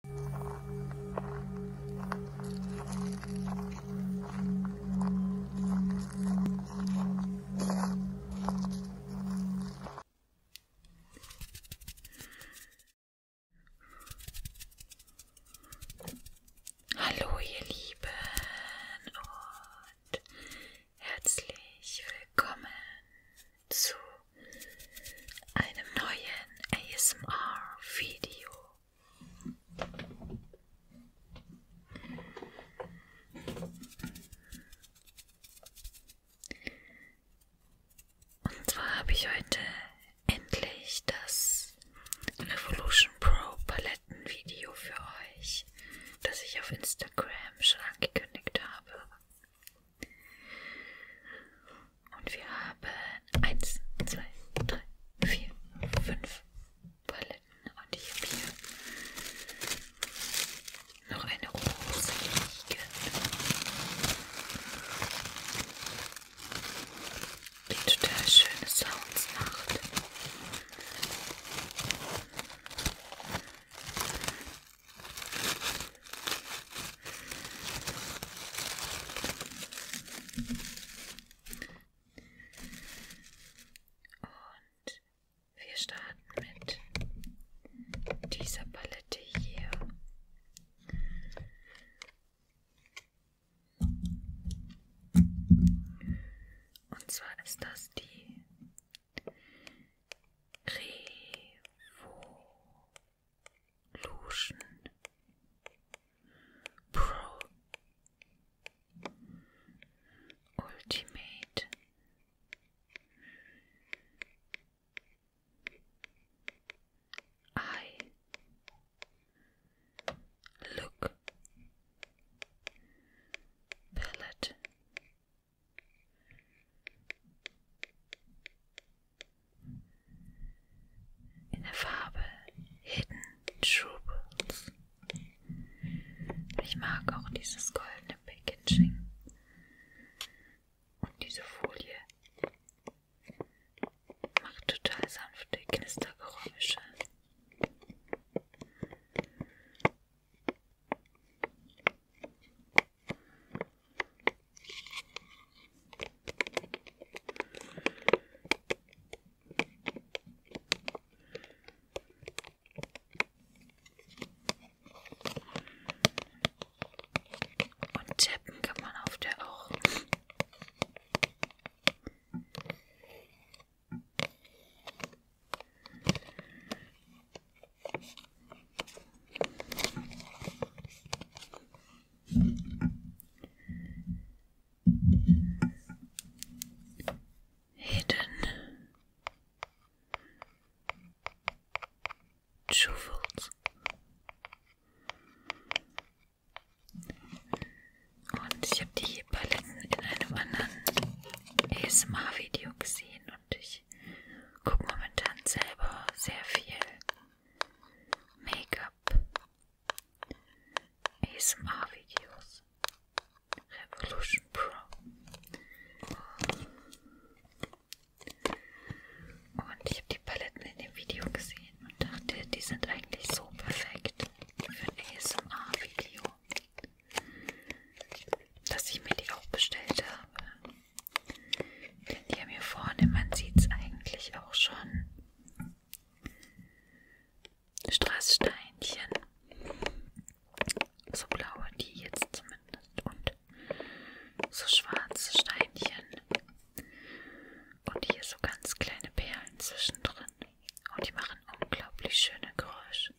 Hallo ihr Lieben und herzlich willkommen zu einem neuen ASMR-Video. Und zwar habe ich heute endlich das Revolution Pro Paletten-Video für euch, das ich auf Instagram schon angekündigt habe. Und wir haben 1, 2, 3, 4, 5 Paletten. Und ich habe hier noch eine Rose liegen. Die total schöne Sounds macht. Und wir starten mit dieser Palette hier. Und zwar ist das die Revo Lucian Pro Ultimate I Look Pellet in der Farbe Hidden Troubles. Ich mag auch dieses goldene Packaging und diese Folie macht total sanfte Knistergeräusche. Und tippen kann man auf der auch. Hidden Jewels und ich habe die Paletten in einem anderen ASMR-Video gesehen und ich gucke momentan selber sehr viel Make-up, ASMR-Videos, Revolution Pro und ich habe die Paletten in dem Video gesehen und dachte, die sind eigentlich so perfekt für ein ASMR-Video, dass ich mir die auch bestellt habe. Denn hier mir vorne, man sieht es eigentlich auch schon. Straßsteinchen. So blaue, die jetzt zumindest. Und so schwarze Steinchen. Und hier so ganz kleine Perlen zwischendrin. Und die machen unglaublich schöne Geräusche.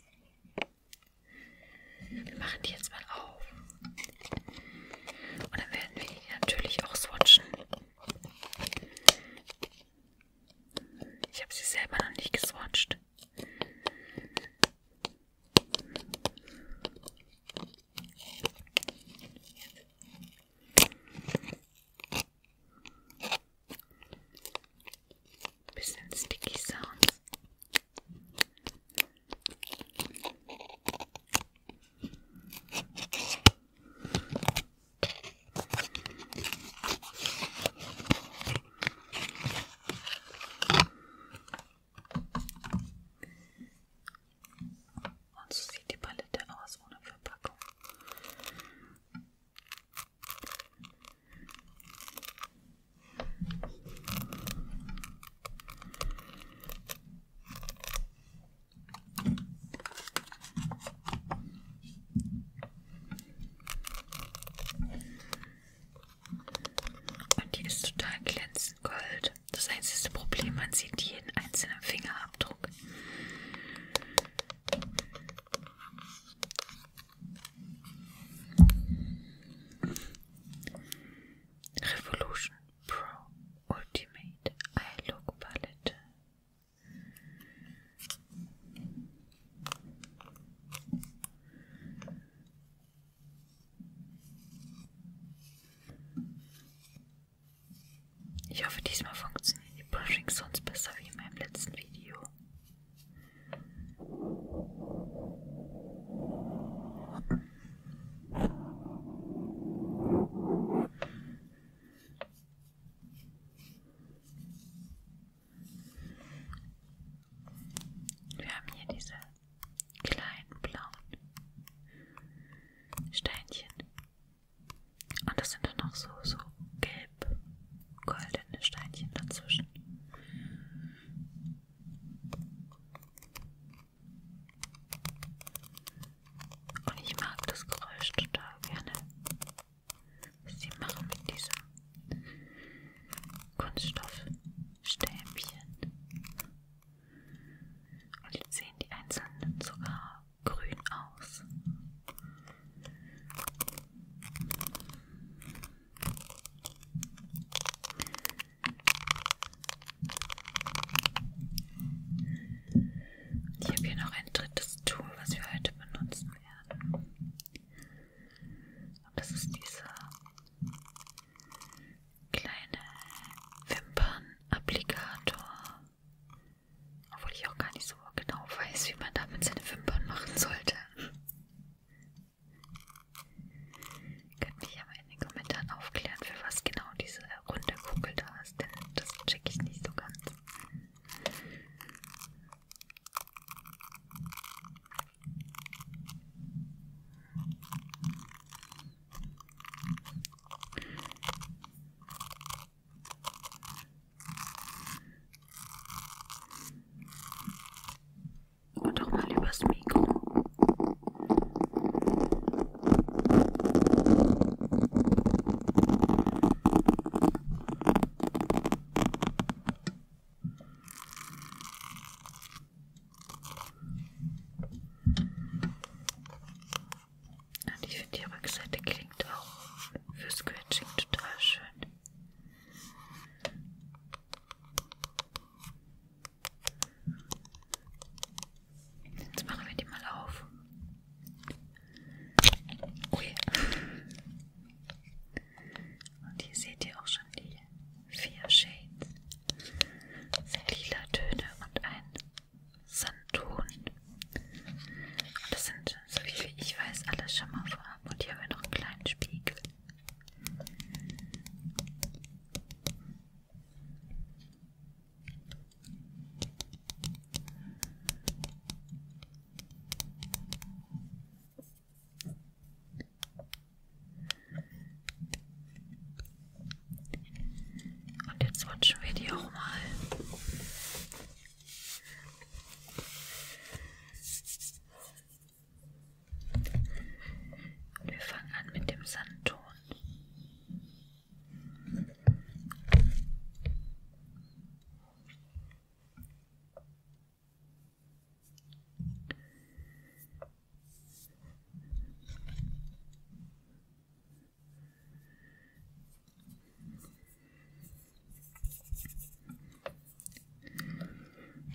Wir machen die jetzt mal auf. Und dann werden wir die natürlich auch swatchen. Ich habe sie selber noch nicht geswatcht. Bisschen sticky Sounds. Und so sieht die Palette aus ohne Verpackung. Und die ist total glänzend gold. Das einzige Problem, man sieht jeden einzelnen Fingerabdruck. Revolution. Pro Ultimate Eye Look Palette. Ich hoffe, diesmal funktionieren die Brushings sonst besser wie in meinem letzten Video. Wir haben hier diese kleinen blauen Steinchen. Und das sind dann noch so, so gelb-goldene Steinchen dazwischen. Und ich mag das Geräusch total gerne. Was sie machen mit diesem Kunststoffstäbchen. Und jetzt sehen die einzelnen sogar grün aus. Ich habe hier noch ein drittes Tool, was wir heute benutzen werden. Und das ist diese kleine Wimpernapplikator. Obwohl ich auch gar nicht so genau weiß, wie man damit seine Wimpern machen sollte. Ihr könnt mich aber in den Kommentaren aufklären, für was genau diese runde Kugel da ist, denn das checke ich nicht so ganz. Und doch mal übers Mikro. Und ich finde, die Rückseite klingt auch für Scratching total schön. Jetzt machen wir die mal auf. Ui. Oh und hier seht ihr auch schon die vier Shades. Lila Töne und ein Sandton. Und das sind, so viel wie ich weiß, alle Schimmerfarben. Und hier haben wir noch einen kleinen Spiegel. Und jetzt rutschen wir die auch mal wir fangen an mit dem Sandton. Da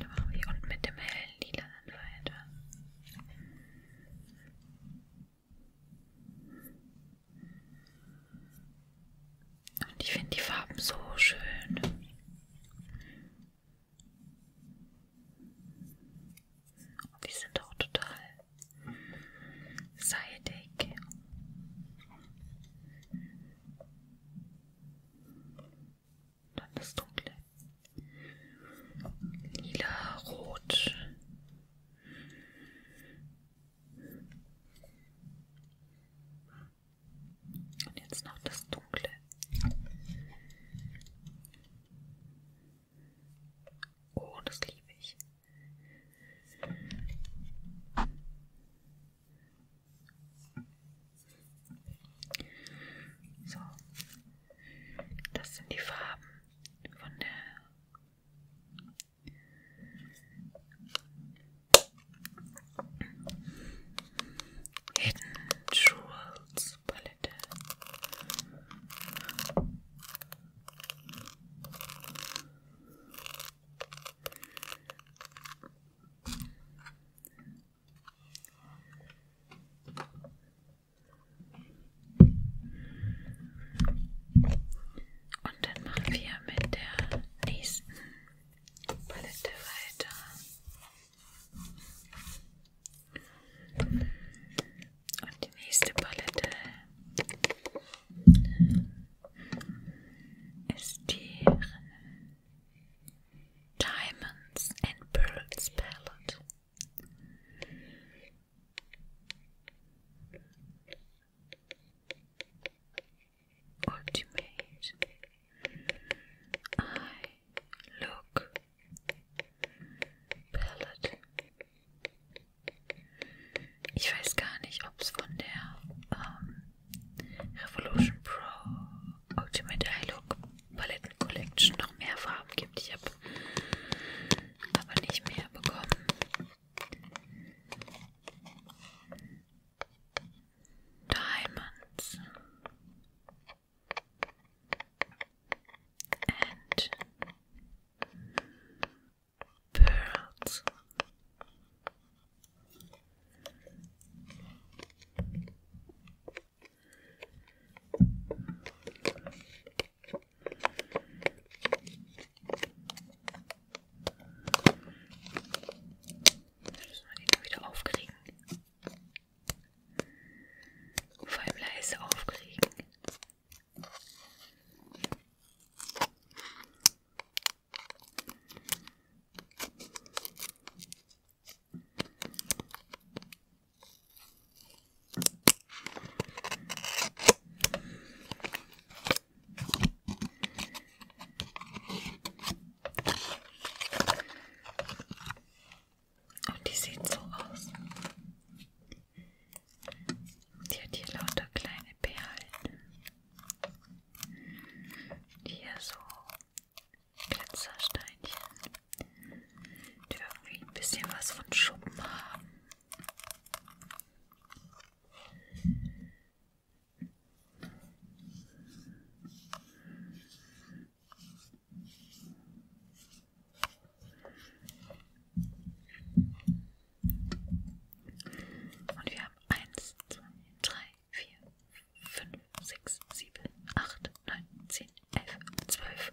machen wir unten mit dem hellen Lila dann weiter. Und ich finde die Farben so schön. Und oh, die sind auch total seidig. Dann das Dunkle. Lila, Rot. Und jetzt noch das Dunkle. Oh, das liebe ich. So, das sind die Farben von der Hidden Jewels Palette. Und dann machen wir mit der nächsten Palette weiter. Und die nächste Palette ist die Diamonds and Pearls Palette. Ultimate Eye Look Palette. Ich weiß gar nicht, ob es von der ähm, Revolution Pro Ultimate Eye Look Paletten Collection noch mehr Farben gibt. Ich habe aber nicht mehr bekommen. Diamonds and pearls. Müssen wir den wieder aufkriegen. Vor allem leise aufkriegen. Und die sieht so aus. Die hat hier lauter kleine Perlen. Hier so Glitzersteinchen die irgendwie ein bisschen was von Schuppen haben. Und wir haben 1, 2, 3, 4, 5, 6, 7, 8, 9, 10, 11, 12,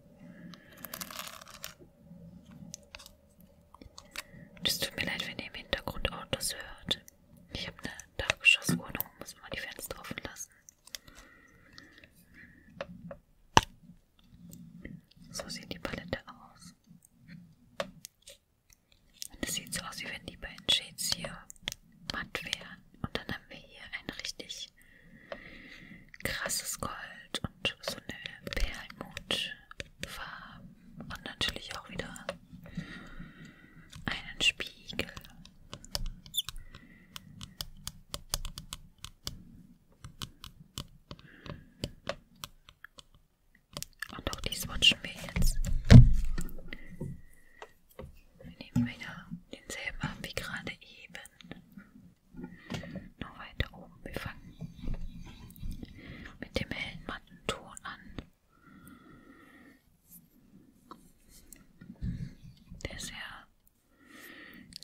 Und es tut mir leid, wenn ihr im Hintergrund Autos hört. Ich habe eine Dachgeschosswohnung, muss mal die Fenster offen lassen. So sieht die Palette aus. Und es sieht so aus, wie wenn die beiden Shades hier matt wären. Und dann haben wir hier einen richtig krasses Gold und so eine Perlmutfarbe und natürlich auch wieder einen Spiegel. Und auch dies watchen wir jetzt. Wir nehmen wieder denselben ab wie gerade eben. Nur weiter oben. Wir fangen mit dem hellen matten Ton an. Der ist ja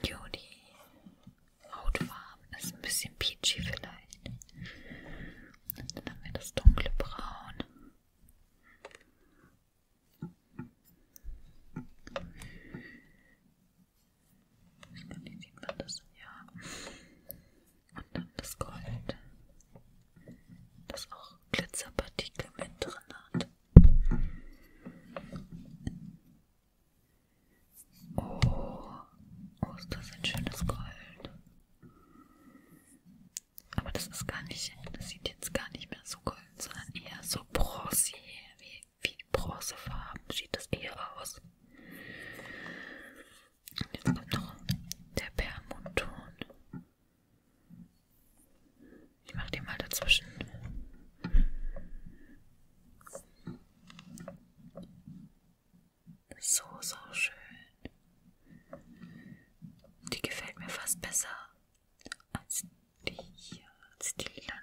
jo, die Hautfarbe ist ein bisschen peachy vielleicht. Und dann haben wir das dunkle Braun. Ich glaube, die sieht man das, ja. Und dann das Gold, das auch Glitzerpartikel mit drin hat. Oh, oh, ist das ein schönes Gold. Aber das ist gar nicht, das sieht jetzt gar nicht mehr so golden, sondern eher so bronzig, wie wie bronzefarben sieht das eher aus. Und jetzt kommt noch der Permutton. Ich mache den mal dazwischen. So, so schön. Die gefällt mir fast besser als die hier, als die lilane.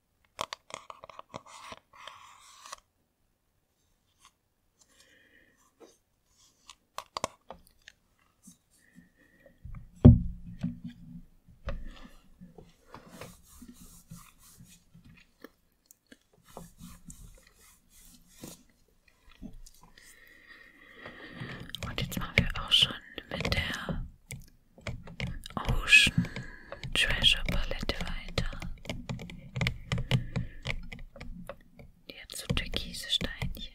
Und jetzt machen wir auch schon mit der Ocean Treasure Palette weiter. Die hat so türkise Steinchen.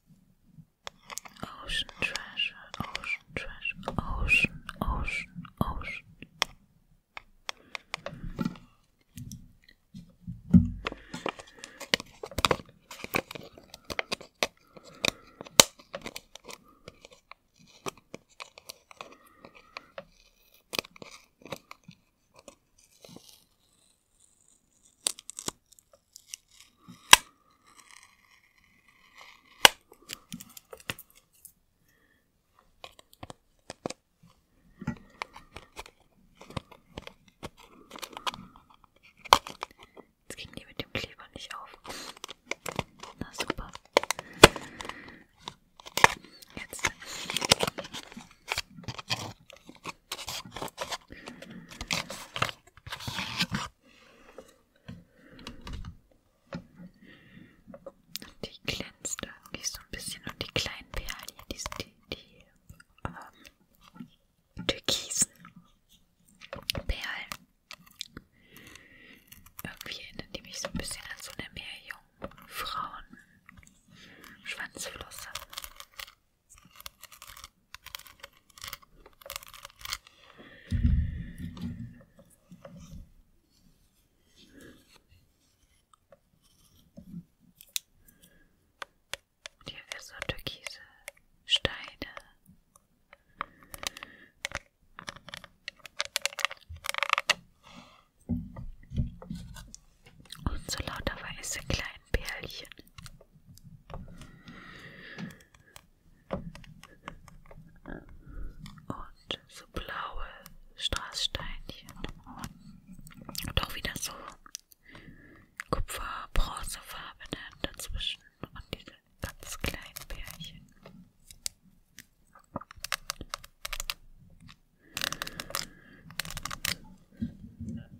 Ocean treasure, ocean treasure, ocean, ocean, ocean. Jetzt ging die mit dem Kleber nicht auf. Na super. Jetzt. Die glänzt irgendwie so ein bisschen und die kleinen Perlen hier, die, die, die ähm, türkisen Perlen. Irgendwie erinnern die mich so ein bisschen an so eine Meerjungfrauen Schwanzflosse. Und hier wir so türkise Steine. Und so lauter weiße kleine kleinen Perlchen. Und so blaue Straßsteinchen. Und auch wieder so kupfer-bronzefarbene dazwischen. Und diese ganz kleinen Pärchen.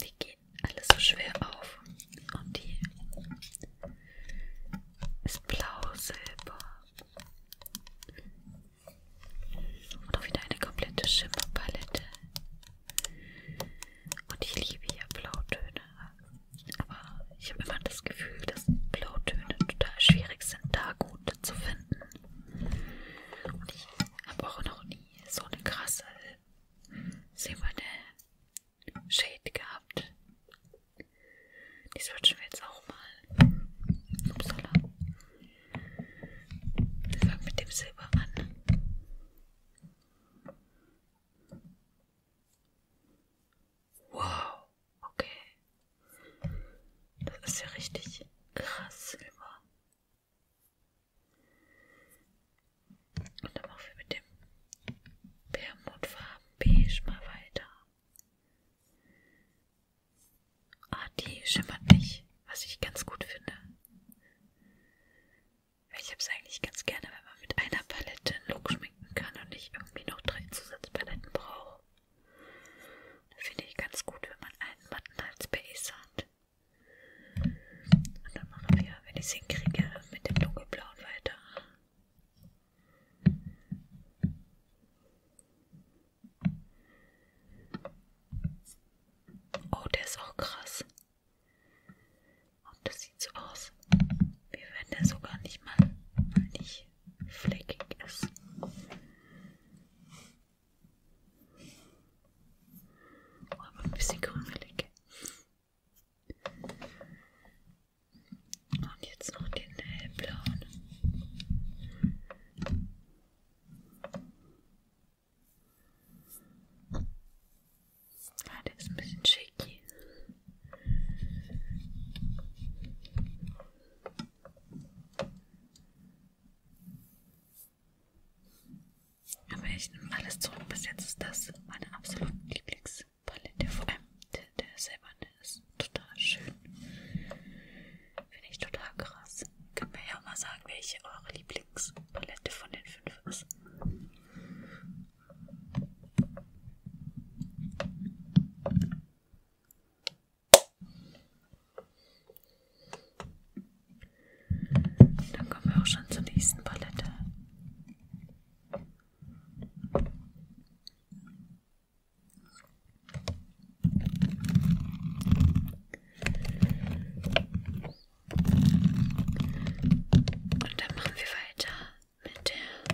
Die gehen alle so schwer auf und die ist blau silber und auch wieder eine komplette Schimmerpalette und ich liebe ja Blautöne. Aber ich habe immer das Gefühl, dass Blautöne total schwierig sind, da gute zu finden. Und ich habe auch noch nie so eine krasse silberne Shade gehabt. Die switchen wir jetzt auch mal. Upsala. Wir fangen mit dem Silber an. Wow, okay. Das ist ja richtig krass, Silber. Und dann machen wir mit dem Permutfarben Beige mal weiter. Ah, die schimmert nicht, was ich ganz gut finde. Weil ich habe es eigentlich ganz gerne, wenn man mit einer Palette einen Look schminken kann und nicht irgendwie noch drei Zusatzpaletten braucht. Das finde ich ganz gut, wenn man einen Matten als Base hat. Und dann machen wir, wenn ich es hinkriege, mit dem dunkelblauen weiter. Oh, der ist auch krass. Und das sieht so aus, wie wenn der sogar nicht mal, mal nicht fleckig ist. Oh, aber ein bisschen grünfleck. Und jetzt noch den hellblauen. Ah, der ist ein bisschen shaky. Aber ich nehme alles zurück. Bis jetzt ist das meine absolute Lieblingspalette. Vor allem der, der silberne ist total schön. Finde ich total krass. Könnt mir ja auch mal sagen, welche eure Lieblingspalette von den fünf ist. Dann kommen wir auch schon zur nächsten Palette. Und dann machen wir weiter mit der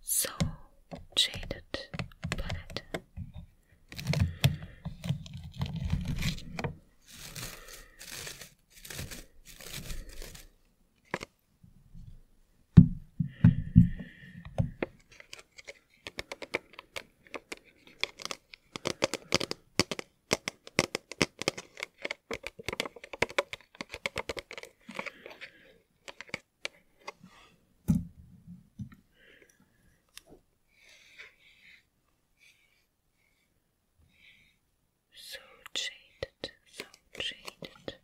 So Shaded Palette. So jaded, so jaded,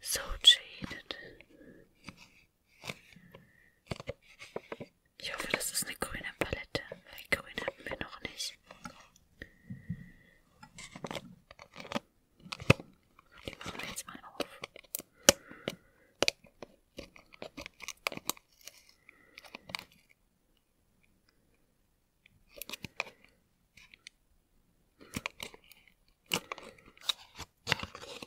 so jaded. Ich hoffe, das ist eine grüne Palette, weil grün hatten wir noch nicht. Die machen wir jetzt mal auf.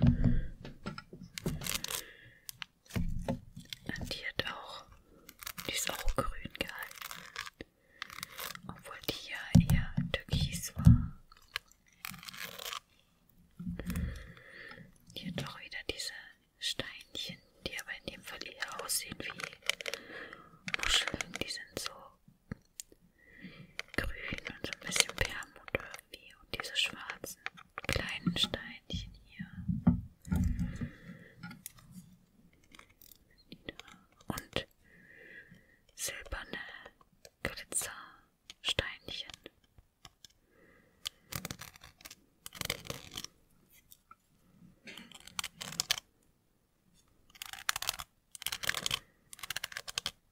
Und die hat auch, die ist auch grün gehalten, obwohl die ja eher türkis war. Hier doch wieder diese Steinchen, die aber in dem Fall eher aussehen wie Muscheln. Die sind so grün und so ein bisschen Permut irgendwie hier und diese schwarzen kleinen Steinchen hier. Und silberne Glitzersteinchen.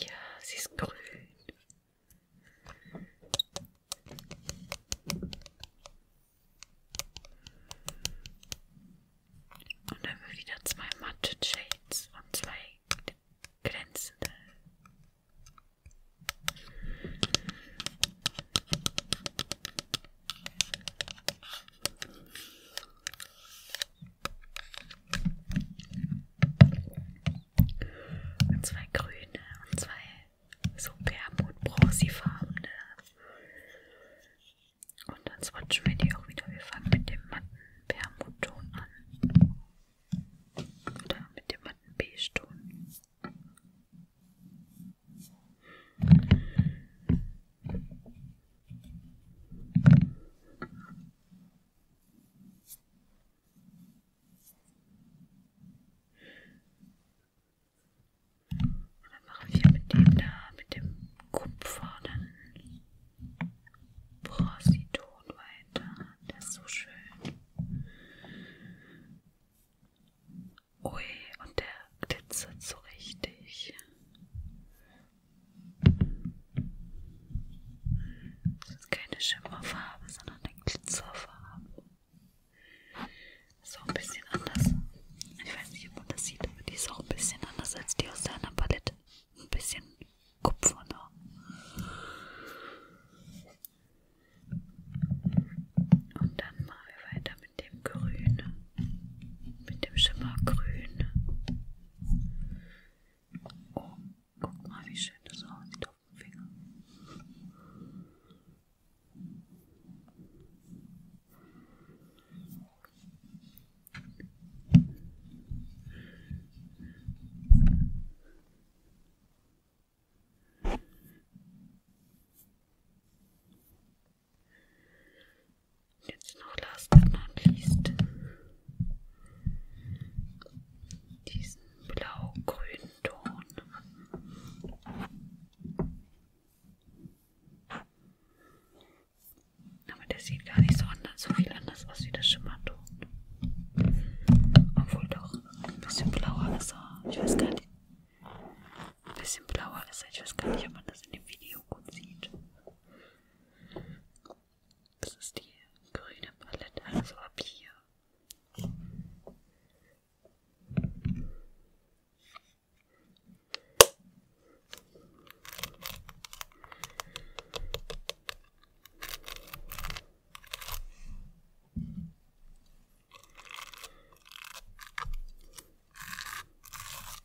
Ja, sie ist grün. Und dann haben wir wieder zwei matte Shades und zwei glänzende. Und zwei grüne und zwei so Permut-Bronzifarbene. Und dann swatchen wir die auch wieder. Wir fangen mit dem matten Permutton an. Oder mit dem matten Beige-Ton. Und dann machen wir mit dem da, mit dem Kupfer, dann Porositon weiter. Das ist so schön. Ui, und der glitzert so richtig. Das ist keine Schimmerfarbe, sondern eine Glitzerfarbe. So ein bisschen anders. Ich weiß nicht, ob man das sieht, aber die ist auch ein bisschen anders als die aus der anderen Palette. Ein bisschen kupferner. Und dann machen wir weiter weiter mit dem Grün, mit dem Schimmergrün. Oh, guck mal, wie schön das aussieht auf dem Finger. Jetzt noch last but not least diesen blau-grünen Ton. Aber der sieht gar nicht so, anders, so viel anders aus wie der Schimmerton. Obwohl doch ein bisschen blauer ist. Ich weiß gar nicht. Ein bisschen blauer ist er. Ich weiß gar nicht, ob man das in dem Video gut sieht. Das ist die grüne Palette, also ab hier.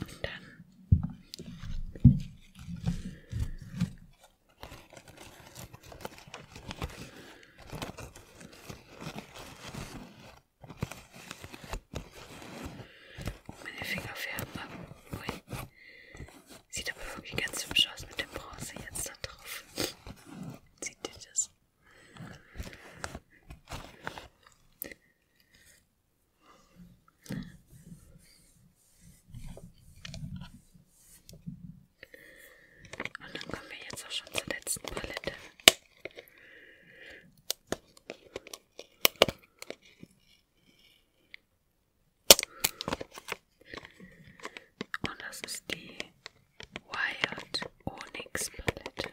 Und dann meine Finger färben ab. Ui. Sieht aber wirklich ganz hübsch aus mit dem Bronze jetzt da drauf. Sieht ihr das? Und dann kommen wir jetzt auch schon zur letzten Palette. Und das ist die Wired Onyx Palette.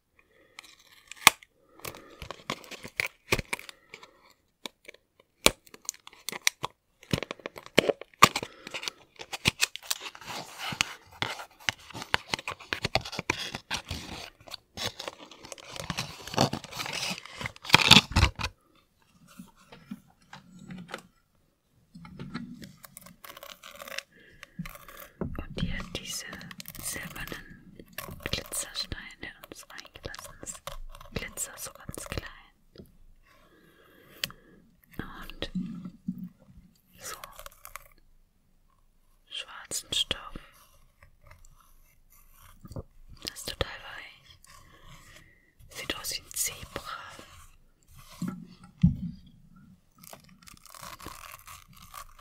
Und hier diese silbernen Glitzerstein, der uns reingelassen ist. Glitzer so ganz klein. Und so schwarzen Stoff. Das ist total weich. Sieht aus wie ein Zebra.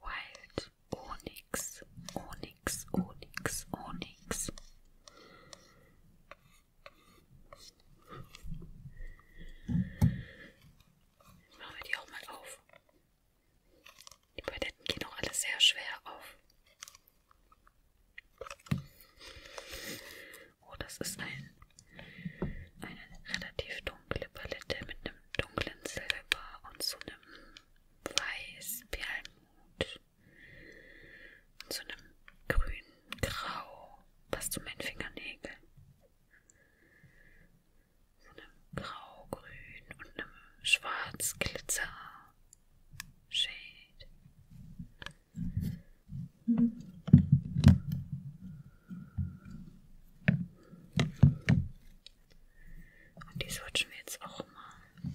Wild Onyx, Onyx, Onyx, Onyx. Jetzt machen wir die auch mal auf. Die Paletten gehen auch alle sehr schwer auf. Oh, das ist ein, eine relativ dunkle Palette mit einem dunklen Silber und so einem weiß-Perlmut und so einem grün-grau, passt zu meinen Fingernägeln. So einem grau-grün und einem schwarz-glitzer Shade. Hm. Und die switchen wir jetzt auch mal.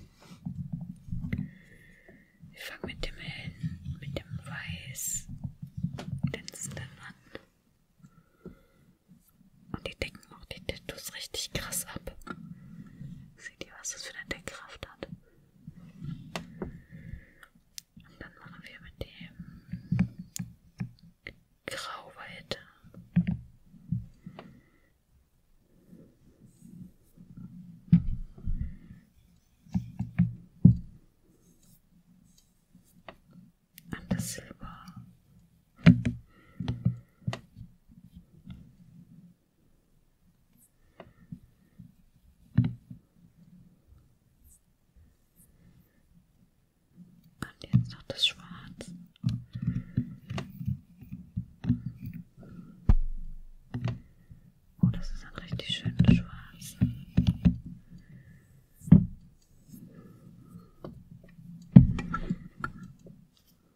Wir fangen mit dem hellen, mit dem weiß glänzenden an. Und die decken auch die Tattoos richtig krass ab. Seht ihr, was das für eine Deckkraft hat? Und dann machen wir mit dem Grau weiter. An das Silber. Und jetzt noch das Schwarz. Oh, das ist ein richtig schönes Schwarz.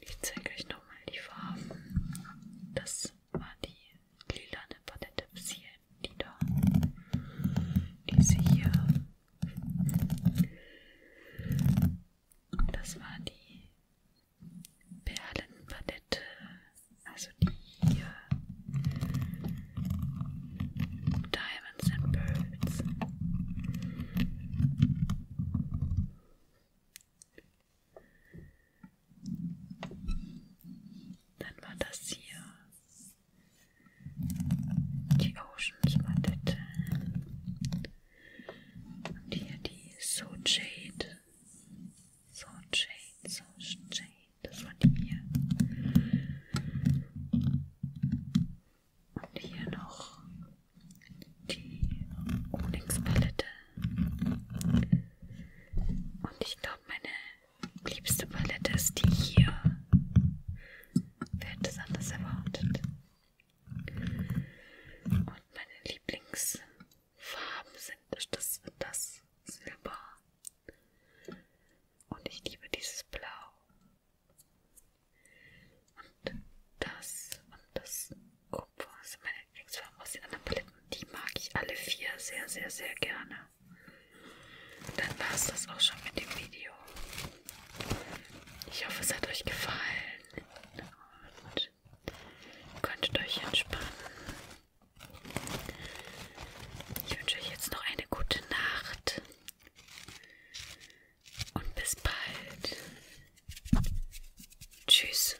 Ich zeige euch nochmal die Farben. Das war die lilane Palette bis hier, die da. Diese hier. Und das war die Perlenpalette, also die hier. Diamonds and Pearls. Dann war das hier die Oceans Palette. Und hier die So Jade. Sound Shade, Sound Shade, das war die hier. Und hier noch die Onyx Palette. Und ich glaube, meine liebste Palette ist die hier. Wer hätte es anders erwartet? Und meine Lieblings Farben sind. Das wird das Silber. Und ich liebe dieses Blau. Und das und das Kupfer das also sind meine Lieblingsfarben aus den anderen Paletten. Die mag ich alle vier sehr, sehr, sehr gerne. Dann war es das auch schon mit dem Video. Ich hoffe, es hat euch gefallen und könntet euch entspannen. Ich wünsche euch jetzt noch eine gute Nacht und bis bald. Tschüss.